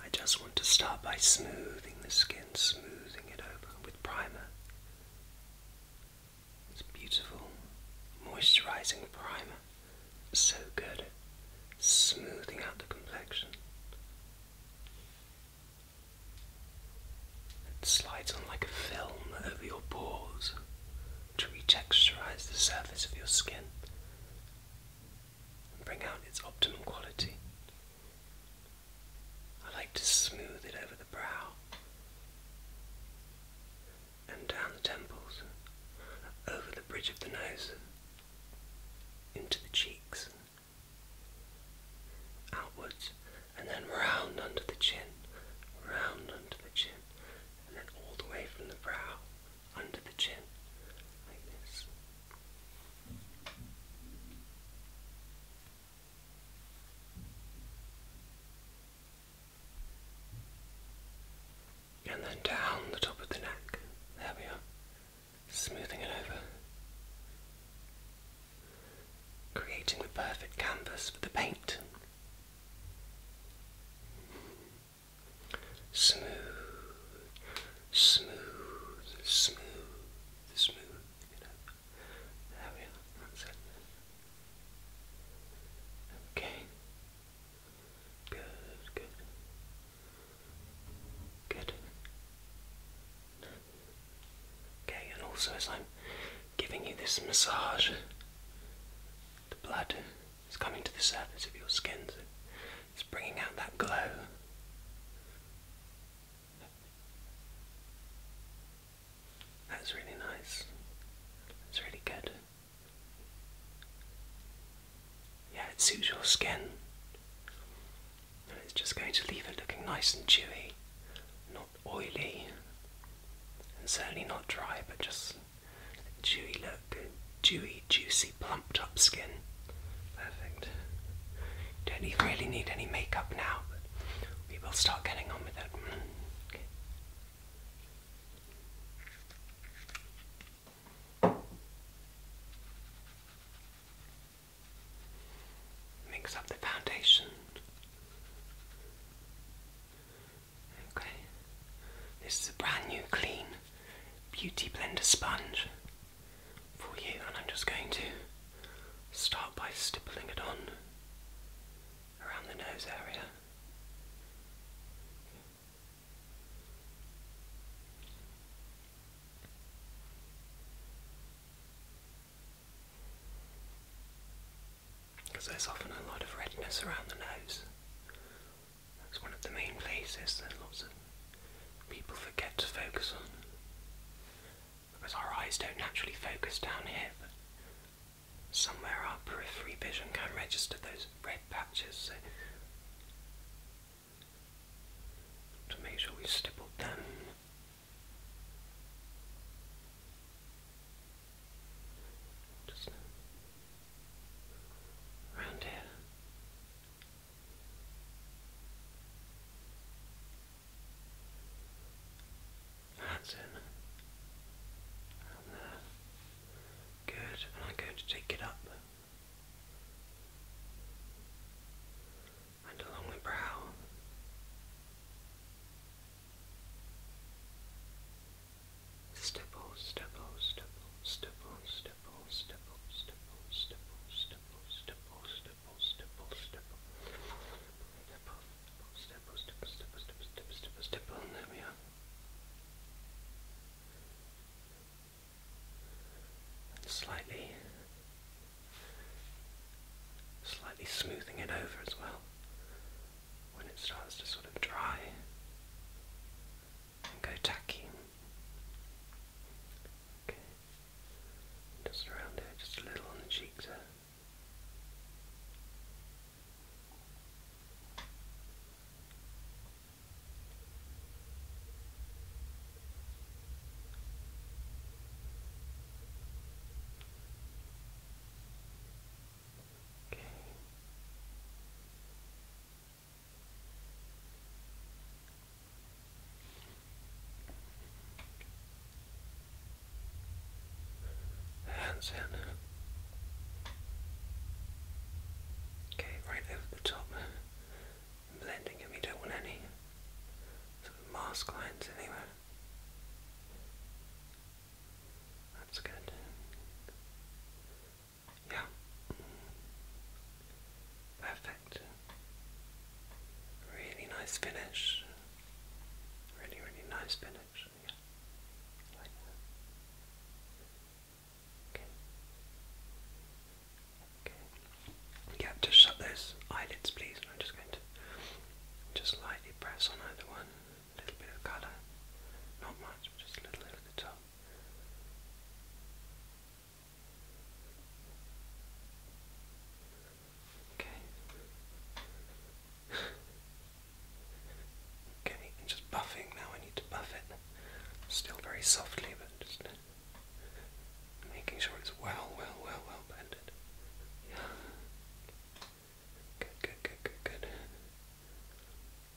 I just want to start by smoothing the skin, smoothing it over with primer. It's beautiful, moisturizing primer. So good, smoothing out the complexion. It slides on like a film over your pores to retexturize the surface of your skin and bring out its optimum quality. I like to smooth it over the brow and down the temples, over the bridge of the nose, into the cheeks, outwards, and then round under the chin, round under the chin, and then all the way from the brow under the chin, like this. And then down the top of the neck. There we are. Smoothing it over. Creating the perfect canvas for the paint. Smooth, smooth, smooth, smooth. Okay. Good, good. Good. Okay, and also as I'm giving you this massage, the blood is coming to the surface of your skin. It's bringing out that glow. That's really nice. That's really good. Yeah, it suits your skin. And it's just going to leave it looking nice and chewy, not oily, and certainly not dry, but just Dewy look, dewy, juicy, plumped up skin. Perfect. Don't even really need any makeup now, we will start getting on with it. Mix up the foundation. Okay. This is a brand new clean Beauty Blender sponge for you, and I'm just going to start by stippling it on around the nose area. Because there's often a lot of redness around the nose, that's one of the main places that lots of people forget to focus on because our eyes don't naturally focus down here, but somewhere our periphery vision can register those red patches. So to make sure we stipple stippled them. Just around here. That's it. there. Good. And I'm going to take it up. And along the brow. Stipple, stipple, stipple, stipple, stipple stipple, stipple, stipple, stipple, stipple, stipple, stipple, stipple, stipple, stipple, stipple, stipple, stipple, stipple, stipple, stipple, and there we are. Slightly, slightly smoothing it over as well when it starts to sort of dry and go tacky. Okay. Just around there, just a little on the cheeks there. Okay. Hands in. Okay, right over the top. blending him, don't want any sort of mask lines anywhere. That's good. Yeah. Perfect. Really nice finish. Really, really nice finish. Yeah. Okay. Okay. Yeah, just shut those eyelids please I'm just going to just lightly press on either one. A little bit of colour. Not much, just a little over the top. Okay. Okay, just buffing now. I need to buff it. Still very softly, but just making sure it's well, well, well, well blended. Yeah. Good, good, good, good, good.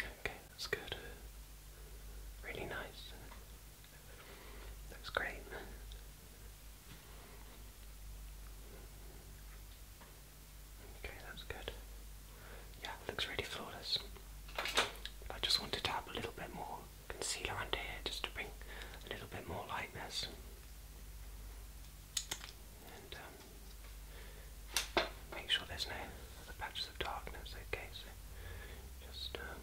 Okay, that's good. Really nice. Looks great. Okay, that's good. Yeah, looks really flawless. I just wanted to have a little bit more concealer under here just to bring a little bit more lightness. Um, make sure there's no patches of darkness, okay? So just, um,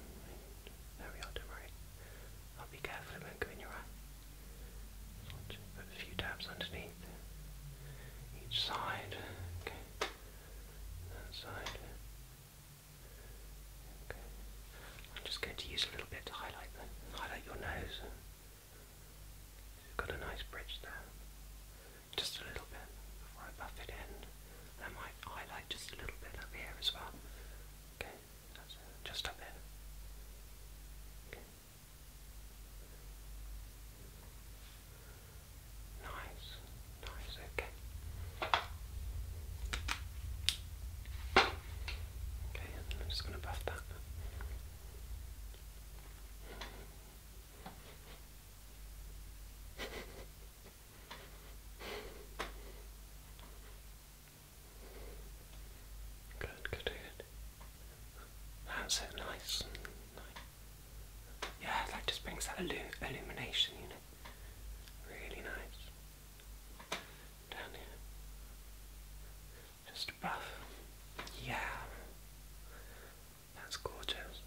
there we are, don't worry. I'll be careful, it not go in your eye. just put a few dabs underneath each side, okay? That side. Okay. I'm just going to use a little bit to highlight the, highlight your nose. Got a nice bridge there. Just a little bit before I buff it in. I might highlight just a little bit up here as well. Okay, Just up here. Nice, nice, okay. Okay, I'm just going to buff that. Good, good, good. That's it, nice. nice. Yeah, that just brings that illumination, you know. Really nice. Down here. Just above, Yeah. That's gorgeous.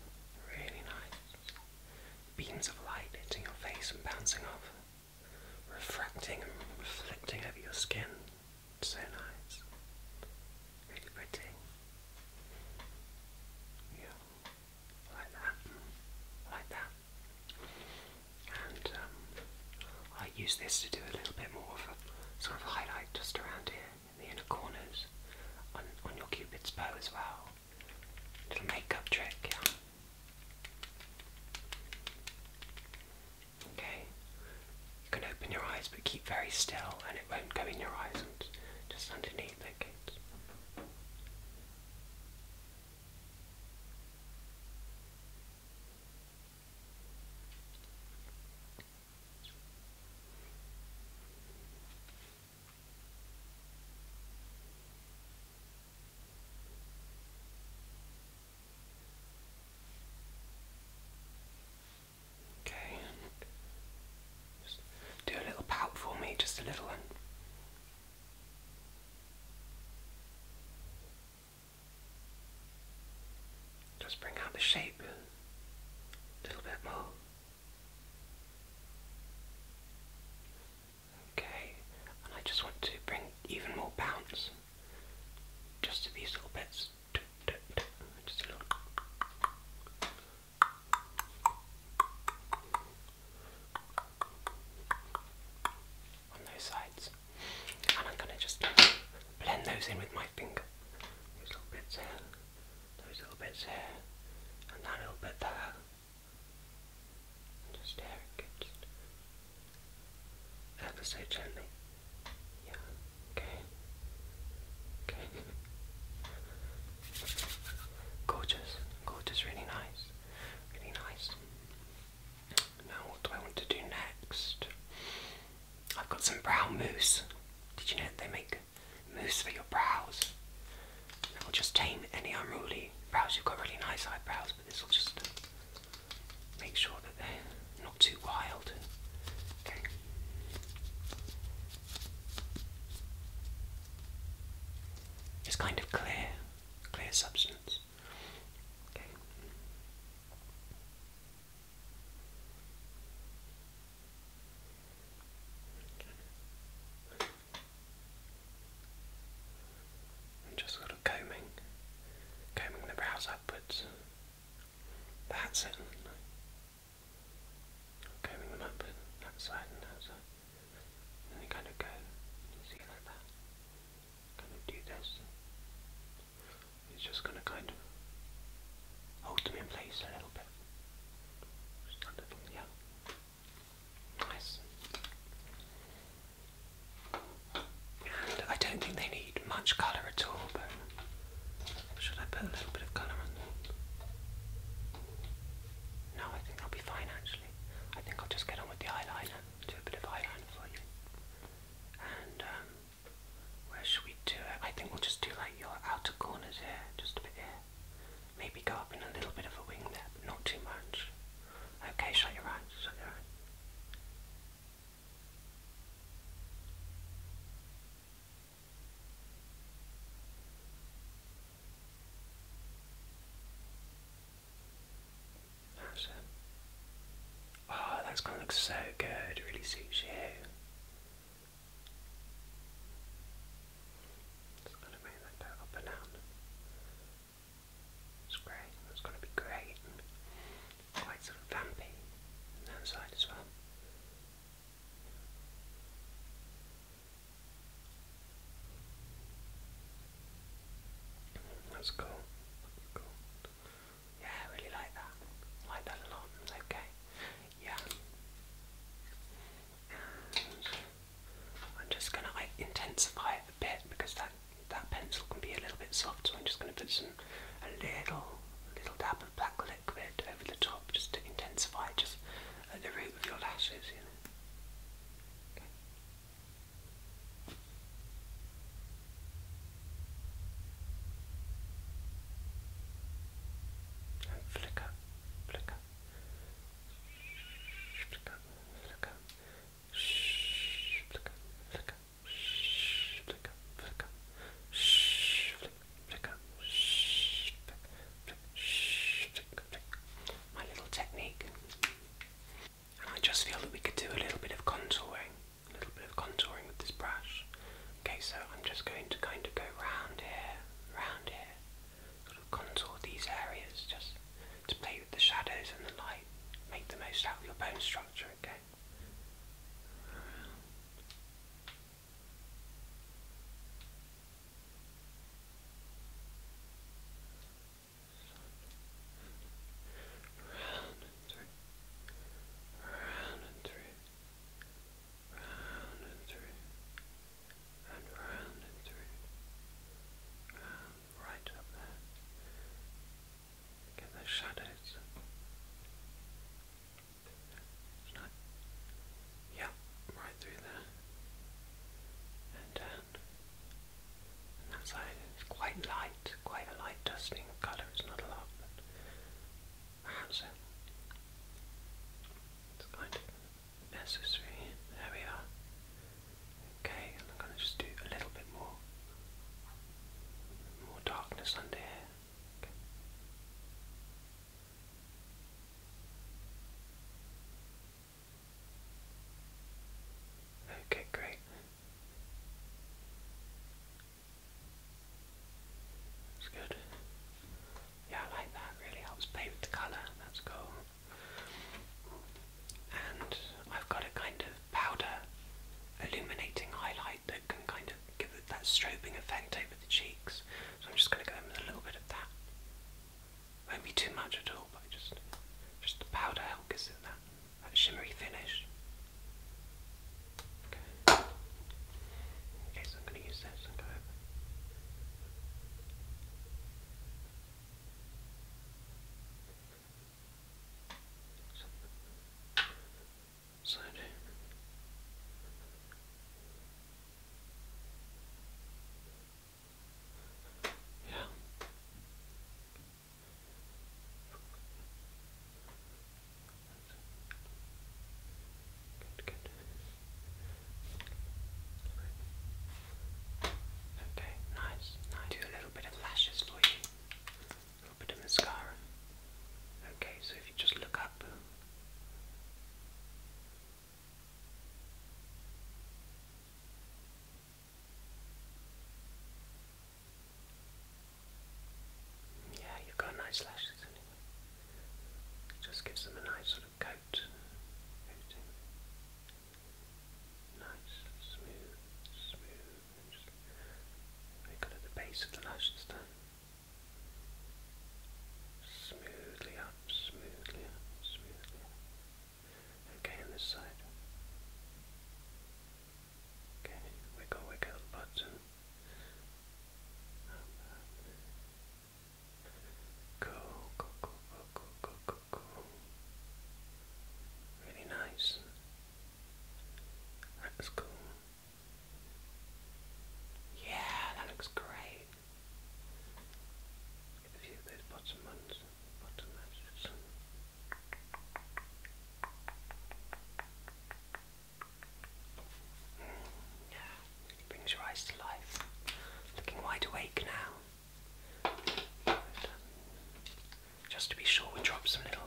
Really nice. Beams of light hitting your face and bouncing off, refracting and reflecting over your skin. So nice. Really pretty. Yeah. Like that. Like that. And um, I use this to do a little bit more of a sort of highlight just around here in the inner corners on, on your cupid's bow as well. Little makeup trick. Yeah. Okay, you can open your eyes but keep very still and it won't go in your eyes and just underneath it. Okay, just do a little pout for me, just a little one. Just bring out the shape a little bit more. Okay, and I just want to bring even more bounce just to these little bits. Just a little. On those sides. And I'm gonna just blend those in with my finger. Those little bits here, those little bits here, and that little bit there. And just here, just ever so gently. Yeah, okay. Okay. Gorgeous, gorgeous, really nice, really nice. Now what do I want to do next? I've got some brow mousse. Did you know they make mousse for your brows? It will just tame any unruly brows. You've got really nice eyebrows, but this will just make sure that they're not too wild. It's kind of clear, clear substance. Okay. just sort of combing, combing the brows upwards. That's it. Combing them up that side that side. And they kind of go. You see like gonna do this. It's just gonna kind of hold them in place a little bit. yeah. Nice. And I don't think they need much colour at all, but should I put a little bit of colour on them? No, I think that'll be fine actually. I think I'll just get on with the eyeliner, do a bit of eyeliner for you. And um, where should we do it? I think we'll just do like your outer corners here, just a bit here. Maybe go up in a little bit of a wing there, but not too much. Okay, shut your eyes, shut your eyes. That's Oh, that's gonna look so good. It really suits you. Just gonna make that go up and down. It's great. That's gonna be great. Quite sort of vampy on as well. That's cool. That's cool. Yeah, I really like that. like a lot. Okay. Yeah. I'm just gonna like intensify it a bit because that that pencil can be a little bit soft, so I'm just gonna put some a little little dab of black liquid over the top just to intensify just at the root of your lashes, you know. And flicker, flicker, flicker, flicker, shh, flicker, flicker, shh, flicker, flicker, shh, flick, flicker, shh, flick, flick, shh, flick, flick. My little technique. And I just feel that we could do a little bit of contouring a little bit of contouring with this brush. Okay, so I'm just going to kind of go round here, round here, sort of contour these areas just to play with the shadows and the light, make the most out of your bone structure, okay? round and through, round and through, and round and through, right up there. Get those shadows. Yeah, right through there. And down. that side is quite light quite a light dusting of colour, it's not a lot, but perhaps it's kind of necessary. There we are. Okay, I'm going to just do a little bit more, more darkness under here. Okay, great. That's good. Yeah, I like that. Really helps play the colour. That's cool. And I've got a kind of powder illuminating highlight that can kind of give it that strobing effect over the cheeks. So I'm just going to go in with a little bit of that. Won't be too much at all, but just just the powder helps gives that shimmery finish. Okay, okay so I'm going to use this So, Yeah. Good, Okay, nice. Now do a little bit of lashes for you. A little bit of mascara. Okay, so if you just look up. Yeah, you've got nice lashes anyway. It just gives them a nice sort of coat Nice, smooth, smooth. And just make at the base of the lashes then. Smoothly up, smoothly up, smoothly up. Okay, on this side. Okay, wiggle, wiggle button. Cool, cool, cool, cool, cool, cool, cool. Really nice. That was cool. Yeah, that looks great. a few of those bottom ones, bottom edges brings your eyes to life. Looking wide awake now. just to be sure, we drop some little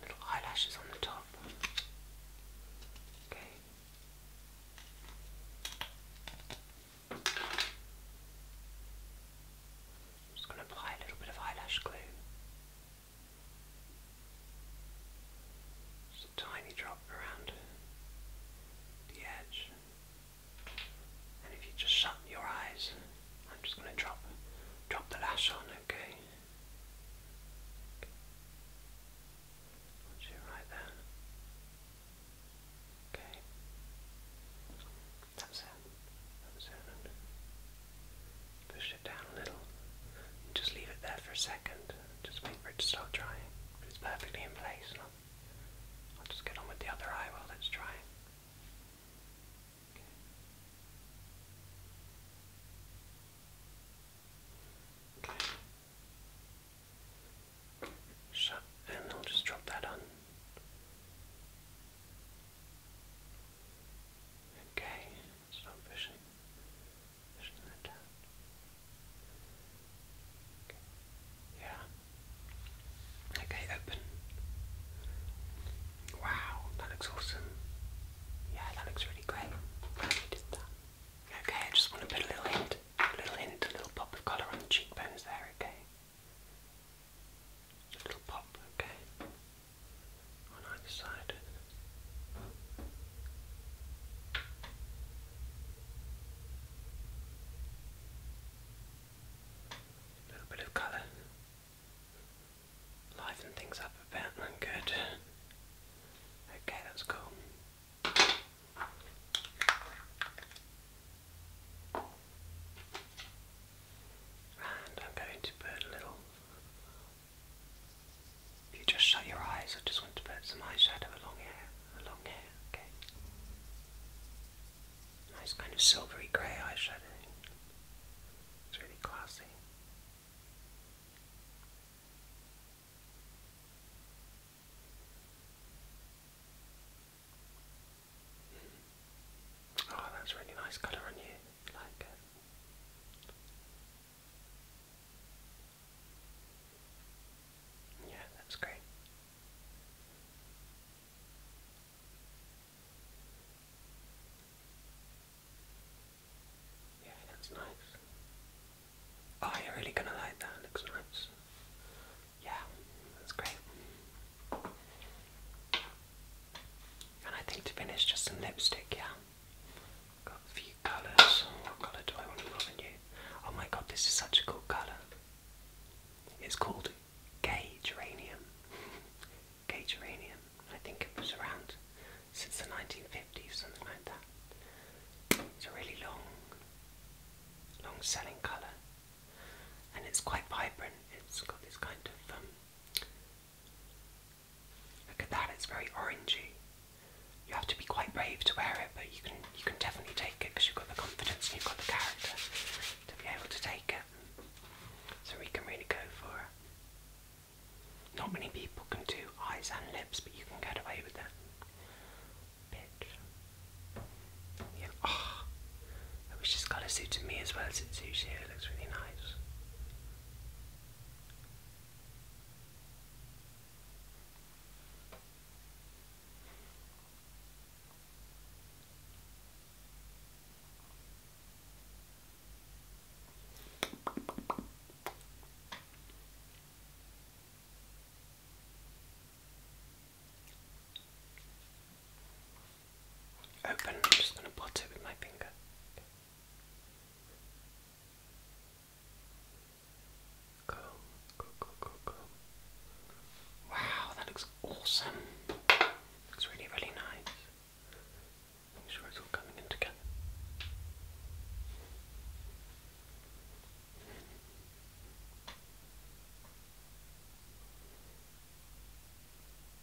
little eyelashes on the top. Okay. just going to apply a little bit of eyelash glue. Just a tiny drop around the edge. And if you just shut your eyes, I'm just going to drop drop the lash on, okay? Watch it right there. Okay. That's it. That's it. push it down a little. just leave it there for a second. Just wait for it to start drying. it's perfectly in place. I'll, just get on with the other eye while it's drying. Okay. Shut, and I'll just drop that on. Okay, stop pushing. Pushing that down. Yeah. Okay, open. Wow, that looks awesome. Yeah, that looks really great. Okay, I just want to put a little hint, a little hint, a little pop of colour on the cheekbones there, okay? A little pop, okay? On either side. A little bit of colour. Liven things up a bit, I'm good. Okay, that's cool. And I'm going to put a little. If you just shut your eyes, I just want to put some eyeshadow along here, along here, okay? Nice kind of silvery grey eyeshadow. It's really classy. Oh, that's really nice colour on you. like it. Yeah, that's great. Yeah, that's nice. Oh, you're really gonna like that. Looks nice. Yeah, that's great. And I think to finish, just some lipstick, yeah? Got a few colours. What colour do I want to roll you? Oh my god, this is such a cool colour. It's called Gay Geranium. Gay Geranium. I think it was around since the 1950s, something like that. It's a really long, long selling colour. And it's quite vibrant. It's got this kind of um, Look at that, it's very orangey. You have to be quite brave to wear it, but you can you can definitely take it because you've got the confidence and you've got the character to be able to take it. So we can really go for it. Not many people can do eyes and lips, but you can get away with it. Bitch. Yeah. Ah. Which wish this colour suited me as well as it suits you. It looks really nice open. I'm just going to blot it with my finger. Cool, cool, cool, cool, cool. Wow, that looks awesome. Looks really, really nice. Make sure it's all coming in together.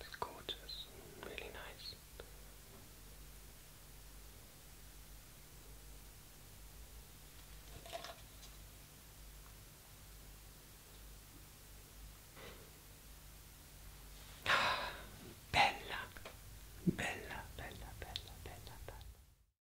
It's gorgeous, really nice. Bella, bella, bella, bella, bella, bella.